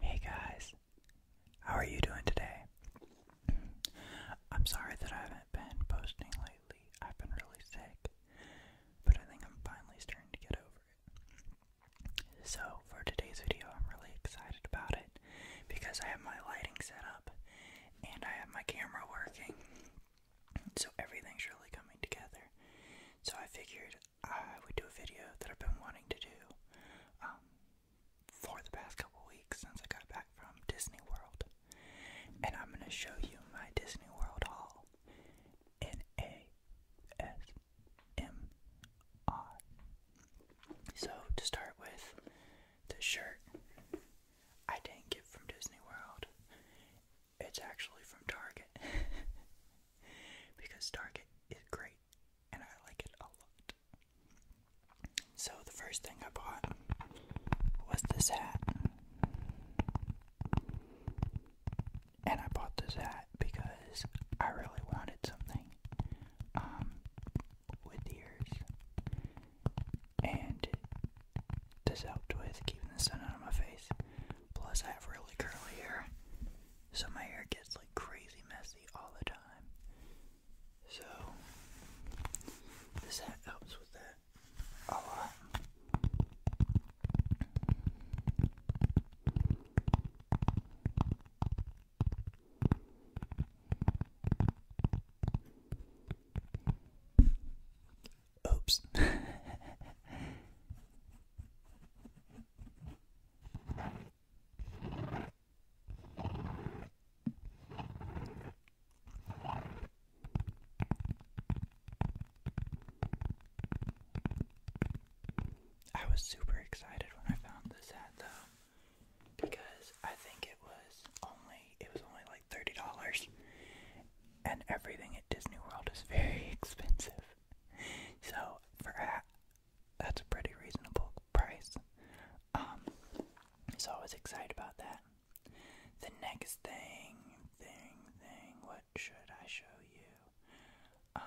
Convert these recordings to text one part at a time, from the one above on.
Hey guys, how are you doing today? I'm sorry that I haven't been posting lately. I've been really sick, but I think I'm finally starting to get over it. So, for today's video, I'm really excited about it because I have my lighting set up and I have my camera working. So, everything's really coming together. So, I figured I would do a video that I've been wanting to do um, for the past couple weeks since I got back from Disney World. And I'm going to show you my Disney World haul in ASMR. So, to start with, the shirt I didn't get from Disney World. It's actually from Target because Target is great and I like it a lot. So, the first thing I bought was this hat. And I bought this hat because I really wanted something um, with ears. And this helped with keeping the sun out of my face. Plus, I have really curly hair, so my hair gets like crazy messy all the time. So, this hat helps with that a lot. Oops. I was super excited when I found this hat though because I think it was only it was only like $30 and everything at Disney World is very expensive. So for that's a pretty reasonable price. Um, so I was excited about that. The next thing, thing, thing, what should I show you? Um,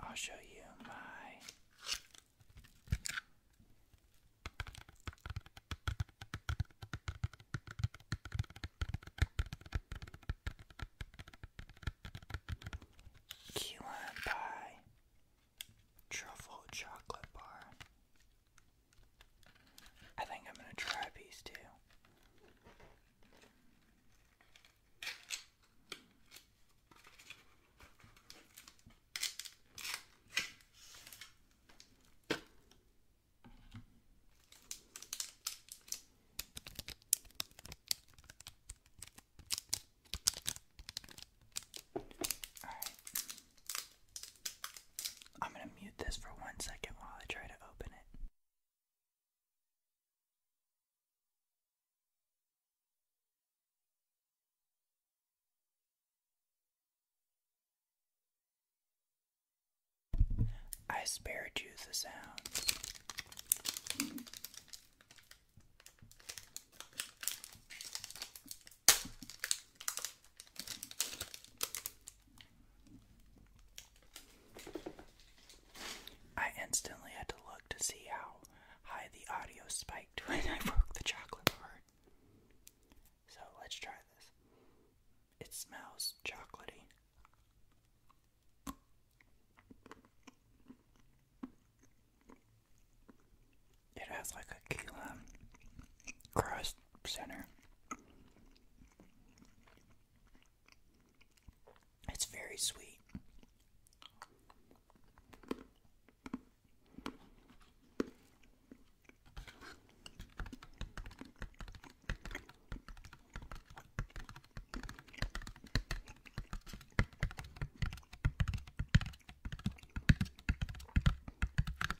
I'll show you my. Key lime pie truffle chocolate bar. I think I'm gonna try a piece too. I'm going to mute this for one second while I try to open it. I spared you the sound. I instantly had to look to see how high the audio spiked when I broke the chocolate part. So let's try this. It smells chocolatey. It has like a crust center. It's very sweet.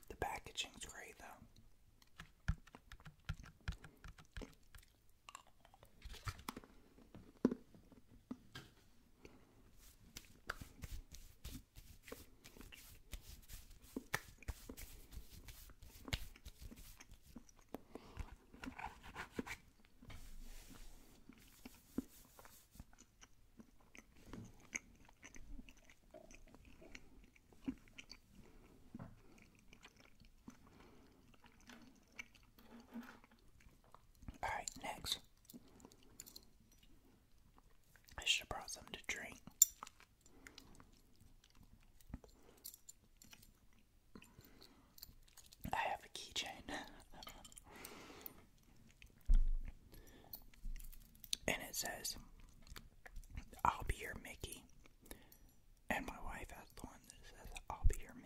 The packaging's great though. All right, next. I should have brought something to drink. I have a keychain. And it says, I'll be your Mickey. And my wife has the one that says, I'll be your Minnie.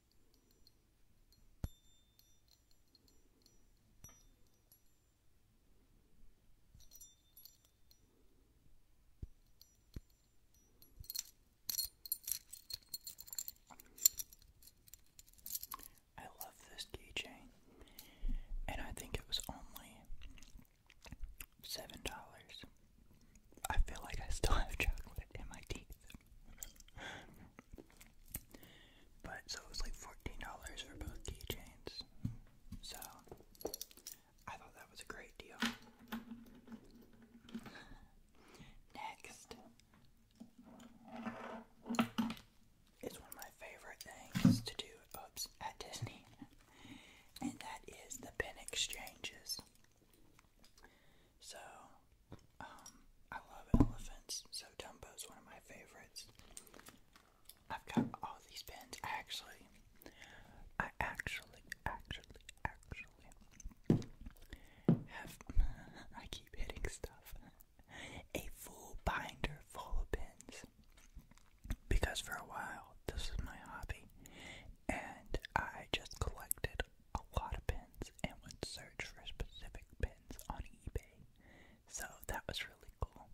I love this keychain, and I think it was only $7. I feel like I still have chocolate in my teeth but so it was like $14 for both keychains. So I thought that was a great deal. Next is one of my favorite things to do at Disney, and that is the pin exchanges. So, um, I love elephants, so Dumbo's one of my favorites. I've got all these pins. actually, I actually, actually, actually have, I keep hitting stuff, a full binder full of pins. Because for a while, this was my hobby, and I just collected a lot of pins and would search for specific pins on eBay. So that was really cool.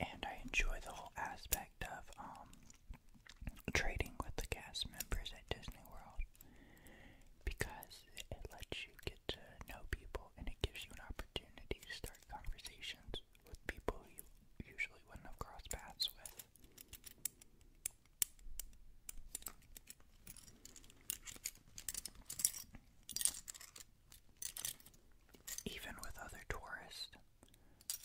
And I enjoy the whole aspect of um, trading with the cast members at Disney World because it lets you get get to know people and it gives you an opportunity to start conversations with people you usually wouldn't have crossed paths with. Even with other tourists,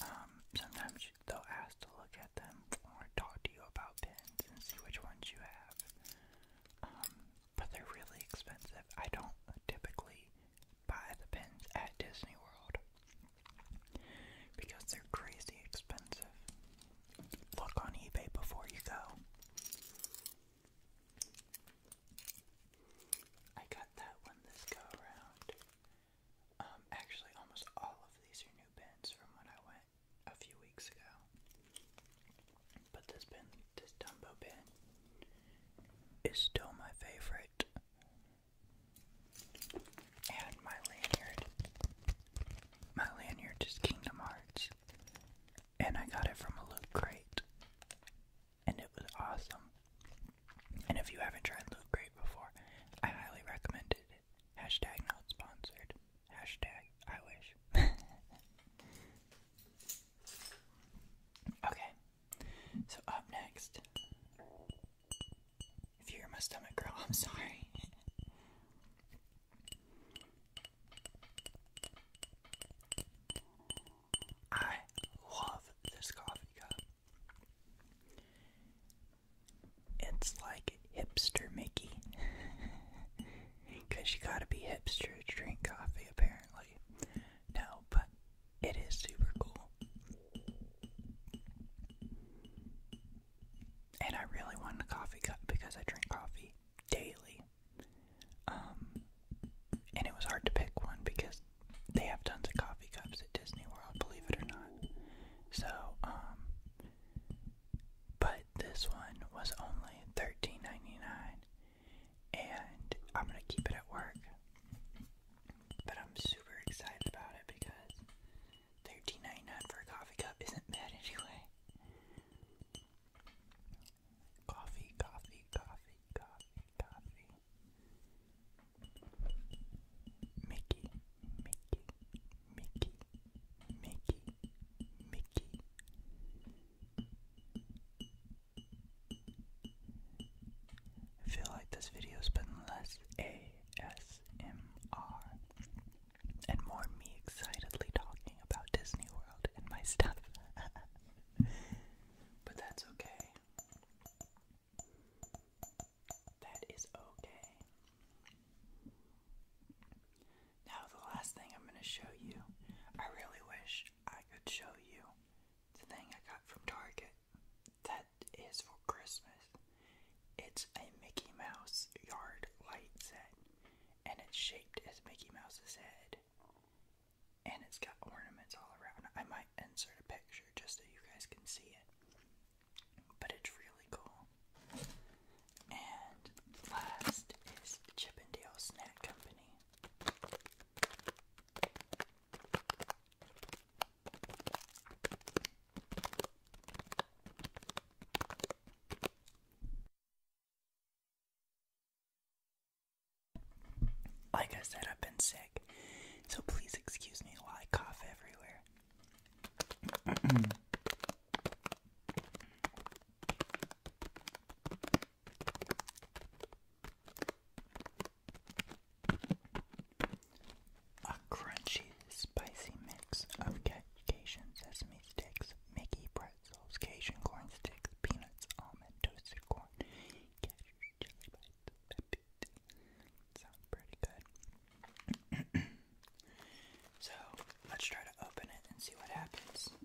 um, sometimes they'll ask to look at them or talk to you about pins and see which ones you have. Um, but they're really expensive. I don't typically buy the pens at Disney World because they're crazy expensive. Look on eBay before you go. I got that one this go around. Um, actually, almost all of these are new pens from when I went a few weeks ago. But this pin, this Dumbo pin, is still my favorite. And my lanyard. My lanyard is Kingdom Hearts. And I got it from a loot crate. And it was awesome. And if you haven't tried Loot Crate before, I highly recommend it. Hashtag not sponsored. Hashtag I wish. Okay, so up next, if you hear my stomach growl, I'm sorry. I love this coffee cup. It's like hipster Mickey. Because you gotta be hipster to drink coffee, apparently. No, but it is super cool. And I really wanted a coffee cup because I drink coffee daily. Um, and it was hard to pick one because they have tons of coffee cups at Disney World, believe it or not. So, um, but this one was only 13 and I'm gonna keep it at work. But I'm super excited about it because $13.99 for a coffee cup isn't bad anyway. Coffee, coffee, coffee, coffee, coffee. Mickey, Mickey, Mickey, Mickey, Mickey, I feel like this video's been less ASMR and more me excitedly talking about Disney World and my stuff. but that's okay. That is okay. Now, the last thing I'm going to show you, I really wish I could show you the thing I got from Target that is for Christmas. It's a Mickey Mouse yard light set, and it's shaped as Mickey Mouse's head. And it's got ornaments all around. I might insert a picture just so you guys can see it. But it's really cool. And last is Chippendale Snack Company. Like I said, I've been sick, so please excuse me while I cough everywhere. A crunchy, spicy mix of Cajun sesame sticks, Mickey pretzels, Cajun corn sticks, peanuts, almond, toasted corn, Sounds pretty good. so let's try to open it and see what happens.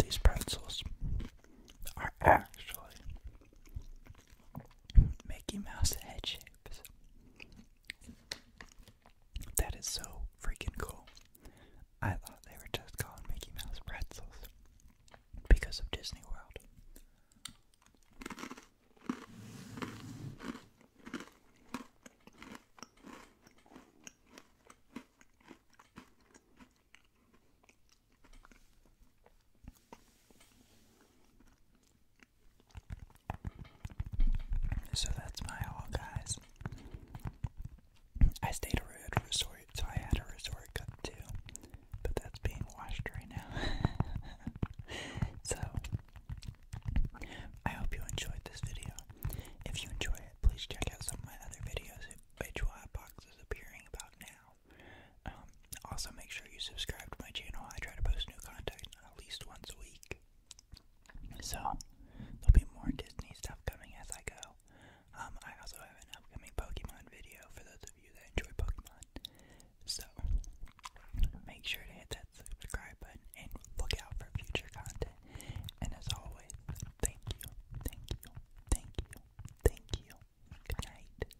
These pretzels are actually Mickey Mouse head shapes. That is so freaking cool. I thought they were just calling Mickey Mouse pretzels because of Disney World. So that's my haul, guys. I stayed at a resort, so I had a resort cut too, but that's being washed right now. so, I hope you enjoyed this video. If you enjoyed it, please check out some of my other videos, which will have boxes appearing about now. Um, also, make sure you subscribe to my channel. I try to post new content at least once a week. So there'll be more Disney stuff coming as I go. Um, I also have an upcoming Pokemon video for those of you that enjoy Pokemon. So make sure to hit that subscribe button and look out for future content. And as always, thank you, thank you, thank you, thank you. Good night.